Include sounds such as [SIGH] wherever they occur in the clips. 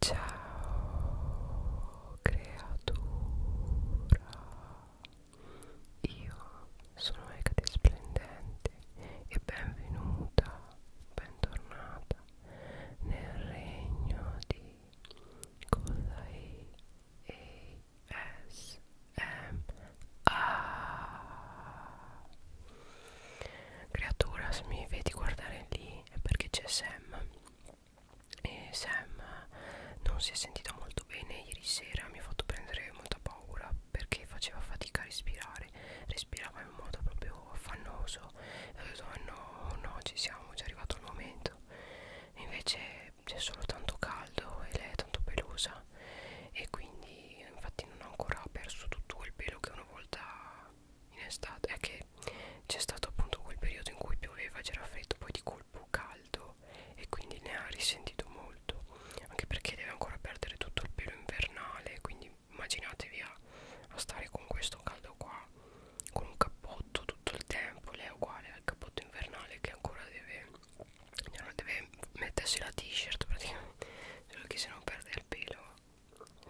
Ciao creatura, io sono Ecate Splendente e benvenuta, bentornata nel regno di Kodai ASMR. Creatura, se mi vedi guardare lì è perché c'è Sam e Sam non si è sentita molto bene ieri sera mi ha fatto prendere molta paura perché faceva fatica a respirare respirava in modo proprio affannoso e ho detto no no ci siamo è già arrivato il momento invece c'è solo tanto caldo e lei è tanto pelosa e quindi infatti non ho ancora perso tutto quel pelo che una volta in estate è che c'è stato appunto quel periodo in cui pioveva c'era freddo poi di colpo caldo e quindi ne ha risentito molto anche perché deve ancora perdere tutto il pelo invernale quindi immaginatevi a, a stare con questo caldo qua con un cappotto tutto il tempo lei è uguale al cappotto invernale che ancora deve deve mettersi la t-shirt praticamente solo che se non perde il pelo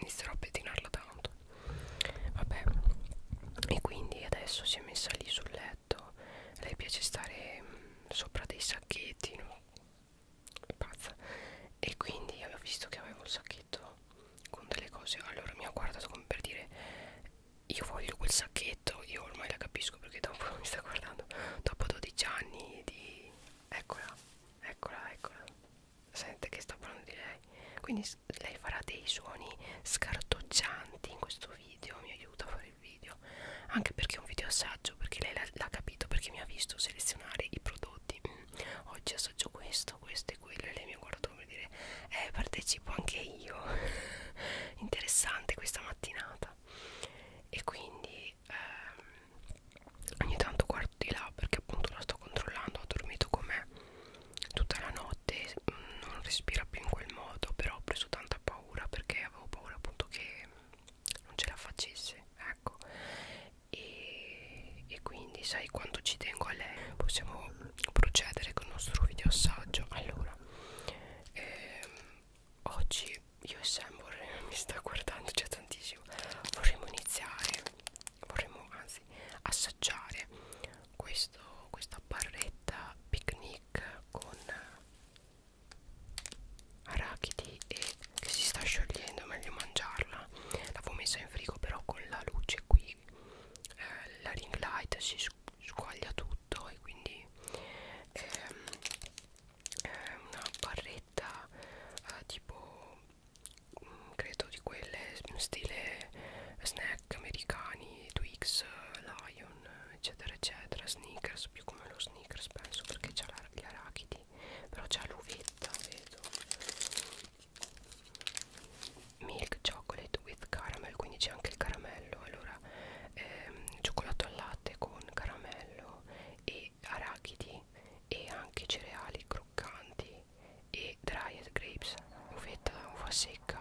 inizierò a pettinarla tanto vabbè e quindi adesso si è messa lì sul letto a lei piace stare mh, mm, sopra dei sacchetti no? è pazza e quindi avevo visto che avevo il sacchetto con delle cose allora mi ha guardato come per dire io voglio quel sacchetto io ormai la capisco perché dopo [LAUGHS] mi sta guardando dopo 12 anni di eccola eccola eccola sente che sto parlando di lei quindi lei farà dei suoni scartoccianti in questo video mi aiuta a fare il video anche perché è un video assaggio perché lei l'ha capito perché mi ha visto selezionare i prodotti mm, oggi assaggio questo questo e quello e lei mi ha guardato per dire eh partecipo anche io [LAUGHS] interessante questa mattinata e quindi ehm, ogni tanto guardo di là perché appunto la sto controllando ha dormito con me tutta la notte non respira più in quel modo però ho preso tanta paura perché avevo paura appunto che non ce la facesse ecco e, e quindi sai quanto ci tengo a lei possiamo procedere con il nostro video assaggio allora ehm, oggi io e Sam vorremmo [LAUGHS] mi sta guardando già tantissimo vorremmo iniziare vorremmo anzi assaggiare questo, questa barretta picnic con arachidi e che si sta sciogliendo, meglio mangiarla l'avevo messa in frigo però con la luce qui eh, la ring light si squaglia tutto e quindi ehm, è una barretta eh, tipo credo di quelle stile snack americani Twix, Lion eccetera eccetera Snickers, più come lo Snickers penso perché c'ha gli arachidi però c'ha l'uvetta vedo milk chocolate with caramel quindi c'è anche il caramello allora ehm, cioccolato al latte con caramello e arachidi e anche cereali croccanti e dried grapes, uvetta, uva secca,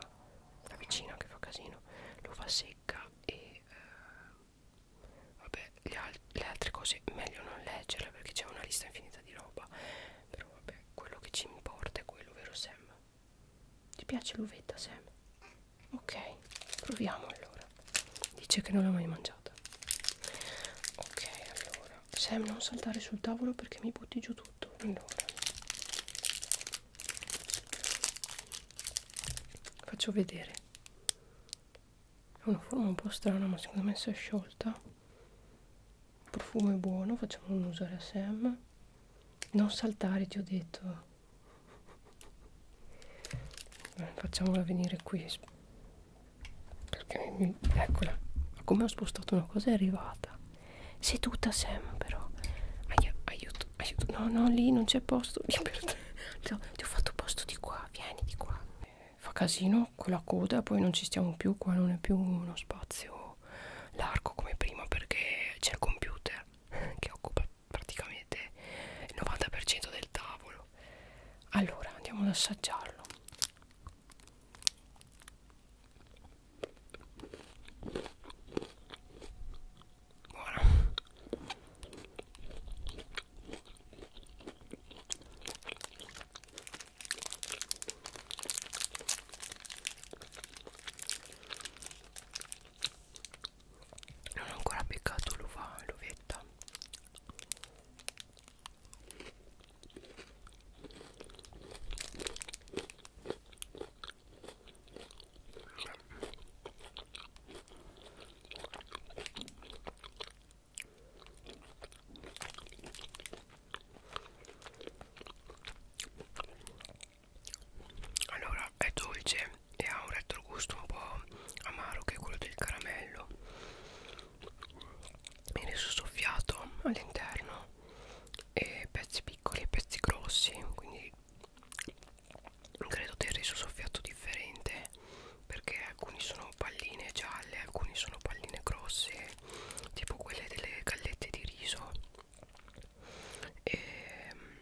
la vicina che fa casino, l'uva secca e eh, vabbè le, al le altre cose meglio non leggerle perché c'è una lista infinita di roba, però vabbè quello che ci importa è quello, vero Sam? Ti piace l'uvetta Sam? Ok, proviamo allora. Dice che non l'ho mai mangiata merda ok allora Sam non saltare sul tavolo perché mi butti giù tutto allora faccio vedere è una forma un po' strana ma secondo me si è sciolta il profumo è buono facciamo usare a Sam non saltare ti ho detto Beh, facciamola venire qui perché mi, eccola ma come ho spostato una cosa è arrivata seduta sembro Ai, aiuto aiuto no no lì non c'è posto [LAUGHS] ti ho, ti ho fatto posto di qua vieni di qua fa casino con la coda poi non ci stiamo più qua non è più uno spazio largo come prima perché c'è il computer [LAUGHS] che occupa praticamente il 90% del tavolo allora andiamo ad assaggiarlo Buono. Non ho ancora beccato l'uva, l'uvetta allora è dolce e ha un retrogusto un po' amaro che è quello del caramello il soffiato all'interno e pezzi piccoli e pezzi grossi quindi credo del riso soffiato differente perché alcuni sono palline gialle alcuni sono palline grosse tipo quelle delle gallette di riso e mm,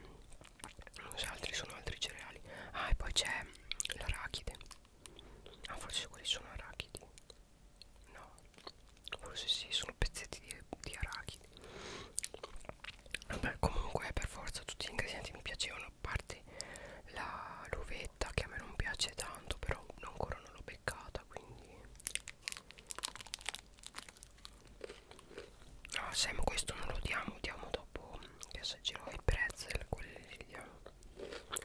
non so, altri sono altri cereali ah e poi c'è l'arachide ah forse quelli sono arachidi no forse sì sono pezzetti di, di arachidi vabbè comunque per forza tutti gli ingredienti mi piacevano a parte la l'uvetta che a me non piace tanto però ancora non l'ho beccata quindi no Sam questo non lo diamo diamo dopo che assaggerò i pretzel quelli li diamo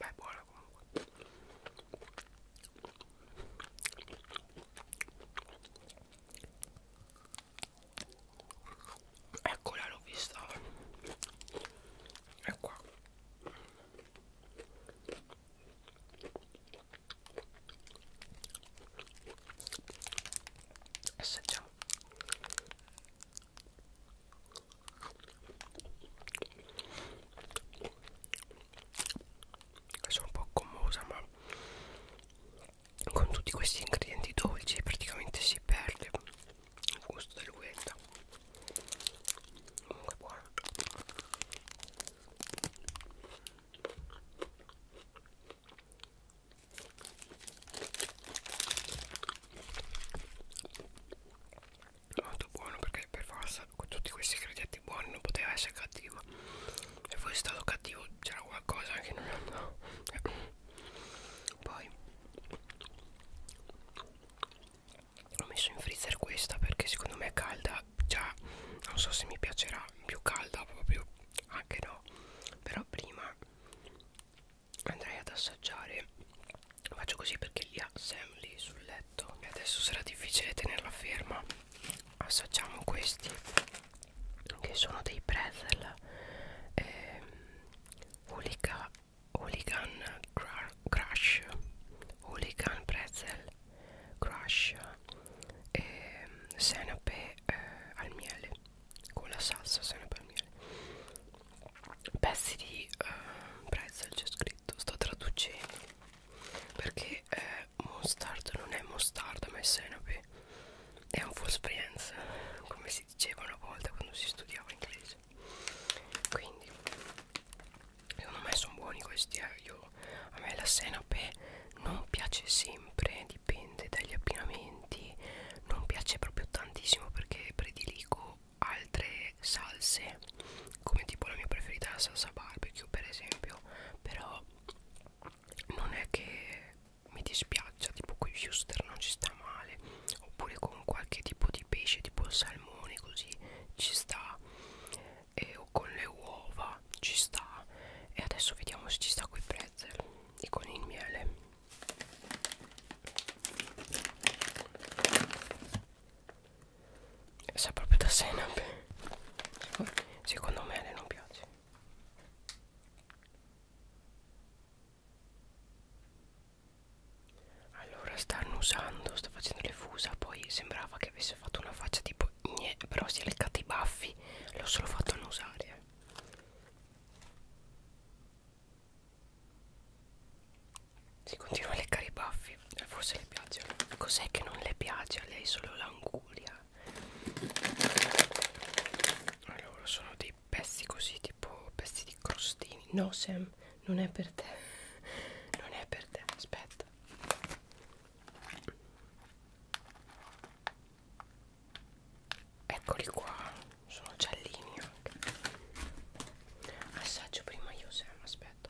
ma è buona comunque eccola l'ho vista è qua assaggiamo sono un po' commosa ma con tutti questi ingredienti dolci praticamente si perde il gusto dell'uenta comunque buono molto buono perché per forza con tutti questi ingredienti buoni non poteva essere cattivo se fosse stato cattivo c'era qualcosa che non andava poi ho messo in freezer questa perché secondo me è calda già non so se mi piacerà più calda proprio anche no però prima andrei ad assaggiare faccio così perché li ha Sam lì sul letto e adesso sarà difficile tenerla ferma assaggiamo questi che sono dei pretzel eh, hooligan, hooligan crush hooligan pretzel crush eh, senape eh, al miele con la salsa senape al miele pezzi di uh, eh, pretzel c'è scritto sto traducendo perché eh, mustard non è mostarda ma è senape è un full experience come si diceva una volta quando si studiava inglese quindi secondo me sono buoni questi eh. Io, a me la senape non piace sempre dipende dagli abbinamenti non piace proprio tantissimo perché prediligo altre salse come tipo la mia preferita è la salsa barbecue per esempio però non è che mi dispiaccia tipo con i Houston non ci sta male oppure con qualche tipo di pesce tipo il salmone così ci sta e, o con le uova ci sta e adesso vediamo se ci sta con i pretzel e con il miele Sa proprio da senape Secondo me a lei non piace Allora stanno usando Sta facendo le fusa Poi sembrava che avesse fatto una faccia tipo Gne, Però si è leccata i baffi L'ho solo fatto annusare eh. Si continua a leccare i baffi, eh, forse le piace. Cos'è che non le piace? A lei solo l'anguria. Allora, sono dei pezzi così, tipo pezzi di crostini. No, Sam, non è per te. [LAUGHS] Non è per te, aspetta. Eccoli qua, sono giallini anche. Assaggio prima io, Sam, aspetta.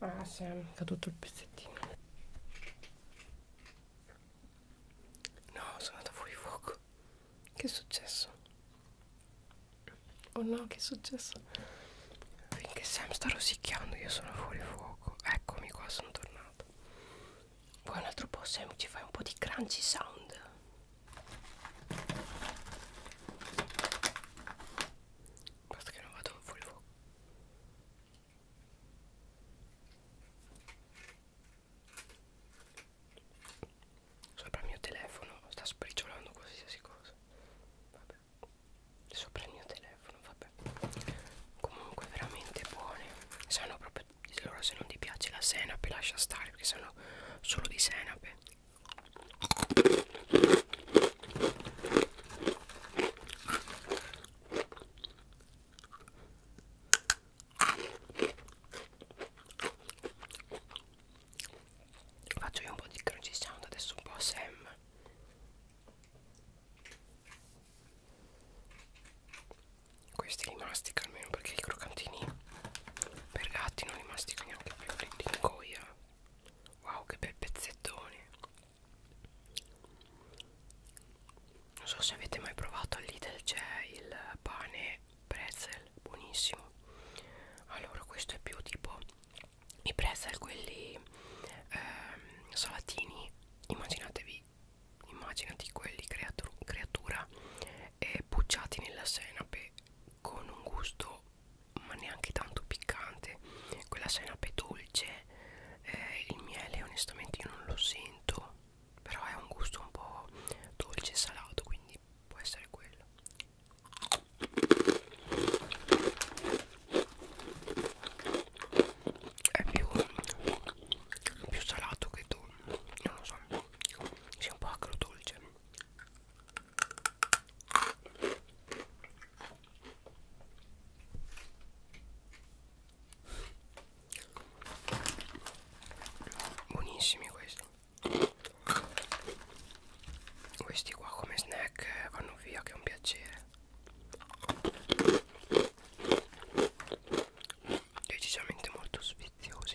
ah si sì, è caduto il pezzettino no sono andata fuori fuoco che è successo? oh no che è successo? finché Sam sta rosicchiando io sono fuori fuoco eccomi qua sono tornato poi un altro po' Sam ci fai un po' di crunchy sound Basta che non vado fuori fuoco Sopra il mio telefono sta spricciolando qualsiasi cosa. Vabbè. Sopra il mio telefono, vabbè. Comunque veramente buone. Sanno proprio allora se non ti piace la senape lascia stare perché sono solo di senape. Faccio io un po' di crunchy sound adesso un po' a Sam Questi li mastica almeno perché i croccantini per gatti non li mastica neanche più, li ingoia Wow che bel pezzettone non so se avete mai provato al Lidl c'è il pane pretzel buonissimo allora questo è più tipo i pretzel quelli ehm, salatini immaginatevi immaginati quelli creatur creatura e pucciati nella senape con un gusto ma neanche tanto piccante quella senape dolce me eh, il miele onestamente io non lo sento però è un gusto un po' dolce e salato quindi può essere quello è più, più salato che dolce non lo so sia un po' acro dolce buonissimi questi questi qua come snack vanno via che è un piacere decisamente molto sfiziosi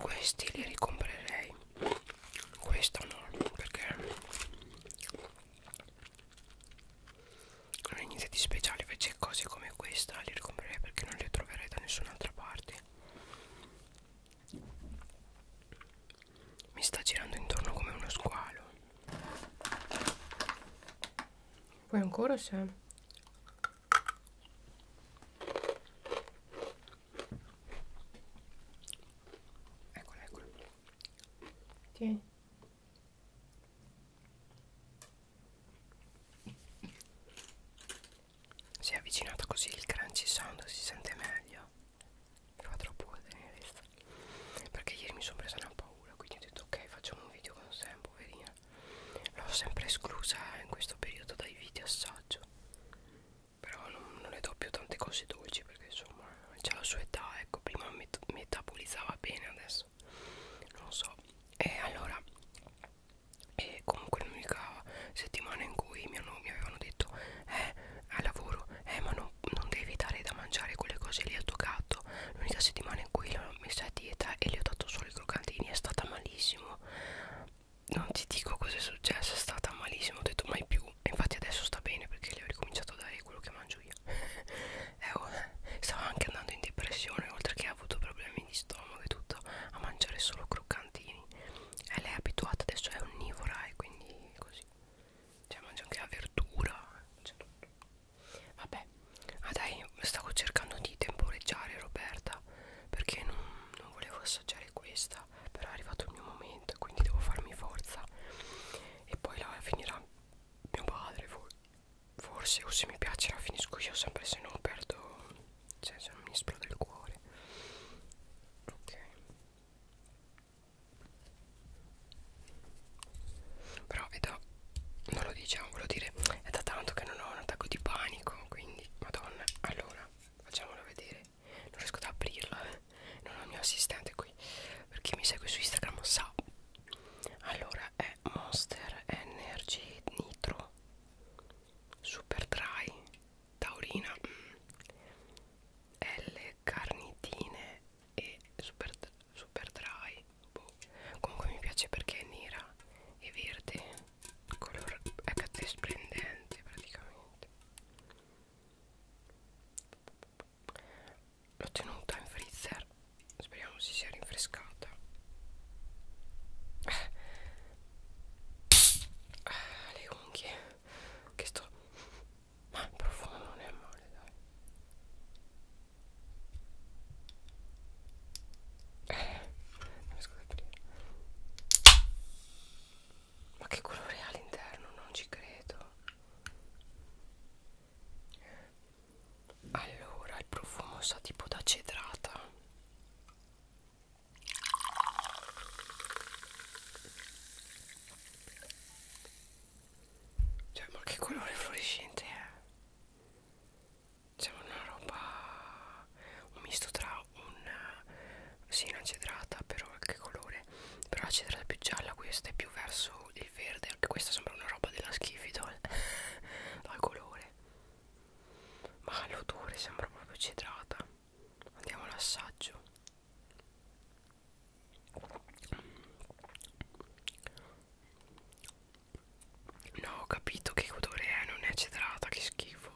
questi li ricomprerei questa no perché le iniziative speciali invece cose come questa le ricomprerei perché non le troverei da nessun'altra parte mi sta girando intorno come uno squalo vuoi ancora Sam? Eccola, eccola. Tieni. Si è avvicinata così il crunchy sound si sente meglio. Mi fa troppo tenere questa. Perché ieri mi sono presa una paura, quindi ho detto ok, facciamo un video con Sam, poverina. L'ho sempre esclusa in questo periodo dai video assaggio però non, non le do più tante cose dolci perché insomma c'è la sua età ecco prima met metabolizzava bene adesso non so e allora e comunque l'unica settimana in cui mio nonno mi avevano detto eh al lavoro eh ma non, non devi dare da mangiare quelle cose lì a tuo gatto l'unica settimana in cui l'ho messa a dieta e gli ho dato solo i croccantini è stata malissimo non ti dico cosa è successo, è stata malissimo, ho detto mai più. E infatti adesso sta bene perché le ho ricominciato a dare quello che mangio io. [LAUGHS] eh, oh, stava anche andando in depressione, oltre che ha avuto problemi di stomaco e tutto, a mangiare solo croccantini. E lei è abituata adesso, è onnivora e quindi così. Cioè mangia anche la verdura. Cioè tutto. Vabbè, ah dai, stavo cercando di temporeggiare Roberta perché non, non volevo assaggiare questa basta però è arrivato il mio momento quindi devo farmi forza e poi la finirà mio padre for forse o se mi piace la finisco io sempre se non perdo cioè se non mi esplode il cuore ok però è da non lo diciamo volevo dire è da tanto che non ho un attacco di panico quindi madonna allora facciamolo vedere non riesco ad aprirlo eh. non ho il mio assistente qui per chi mi segue su Instagram sa allora è Monster Energy Nitro Super Dry Taurina mm. L Carnitine e Super, super Dry boh. comunque mi piace perché è nera e verde il colore è splendente praticamente L'ho tenuta in freezer Speriamo si sia rinfrescata ah, Le unghie Che sto Ma il profumo non è male dai eh, non riesco ad aprire ma che colore ha all'interno? Non ci credo. Allora, il profumo sa tipo da cedrata. Cioè, ma che colore fluorescente è? C'è una roba un misto tra un eh, sì una cedrata però che colore però la cedrata è più gialla questa è più verso il verde anche questa sembra una roba della schifidol dal [LAUGHS] colore ma l'odore sembra proprio cedrata andiamo all'assaggio No ho capito che odore è Non è cedrata che schifo schifo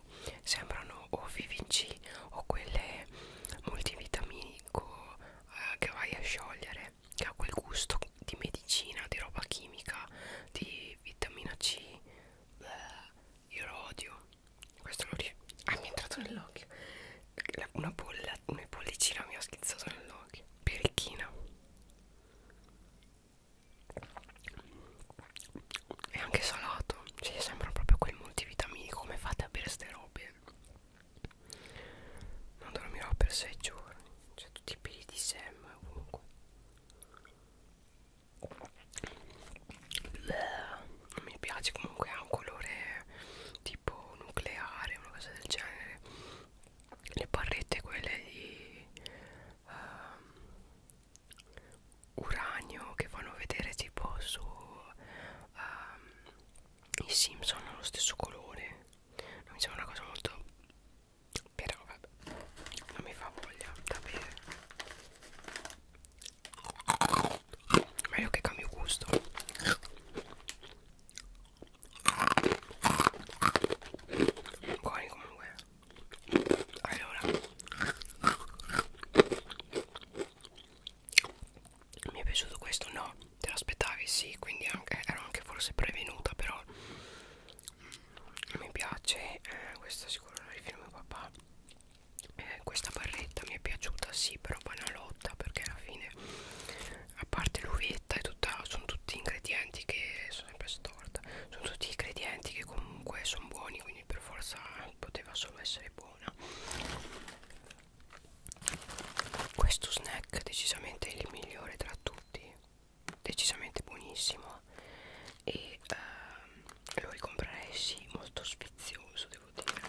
sembrano o VVC o quelle multivitaminico eh, che vai a sciogliere che ha quel gusto di medicina di roba chimica di vitamina C Bleh, io lo odio questo lo riesco ah mi è entrato nell'occhio una, bolla, una bollicina mi ha schizzato nell'occhio birichina è anche salato cioè sembra proprio quel multivitamini come fate a bere ste robe non dormirò per sei giorni cioè tutti i peli di Sam ovunque non mi piace comunque ha un colore tipo nucleare una cosa del genere le barrette quelle di um, uranio che fanno vedere tipo su um, i Simpson hanno lo stesso colore non mi sembra una cosa molto però vabbè non mi fa voglia da bere meglio che cambio gusto buoni comunque allora mi è piaciuto questo no te l'aspettavi sì quindi anche, ero anche forse prevenuta però mi piace eh, questo sicuro lo rifino mio papà eh, questa barretta mi è piaciuta sì però banalotta perché alla fine a parte l'uvetta e tutta sono tutti ingredienti che sono sempre storta sono tutti ingredienti che comunque sono buoni quindi per forza poteva solo essere buona questo snack decisamente è il migliore tra tutti decisamente buonissimo e ehm, lo ricomprerei sì molto sfizioso devo dire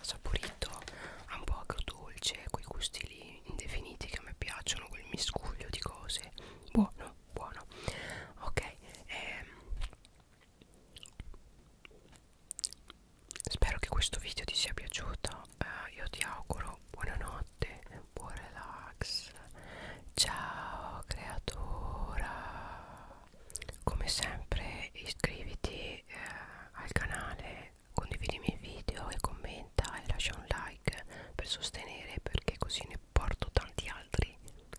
saporito ha un po' agrodolce quei gusti lì indefiniti che a me piacciono quel miscuglio di cose buono buono ok ehm, spero che questo video ti sia piaciuto eh, io ti auguro buonanotte buon relax ciao creatura come sempre iscriviti eh, al canale condividi i miei video e commenta e lascia un like per sostenere perché così ne porto tanti altri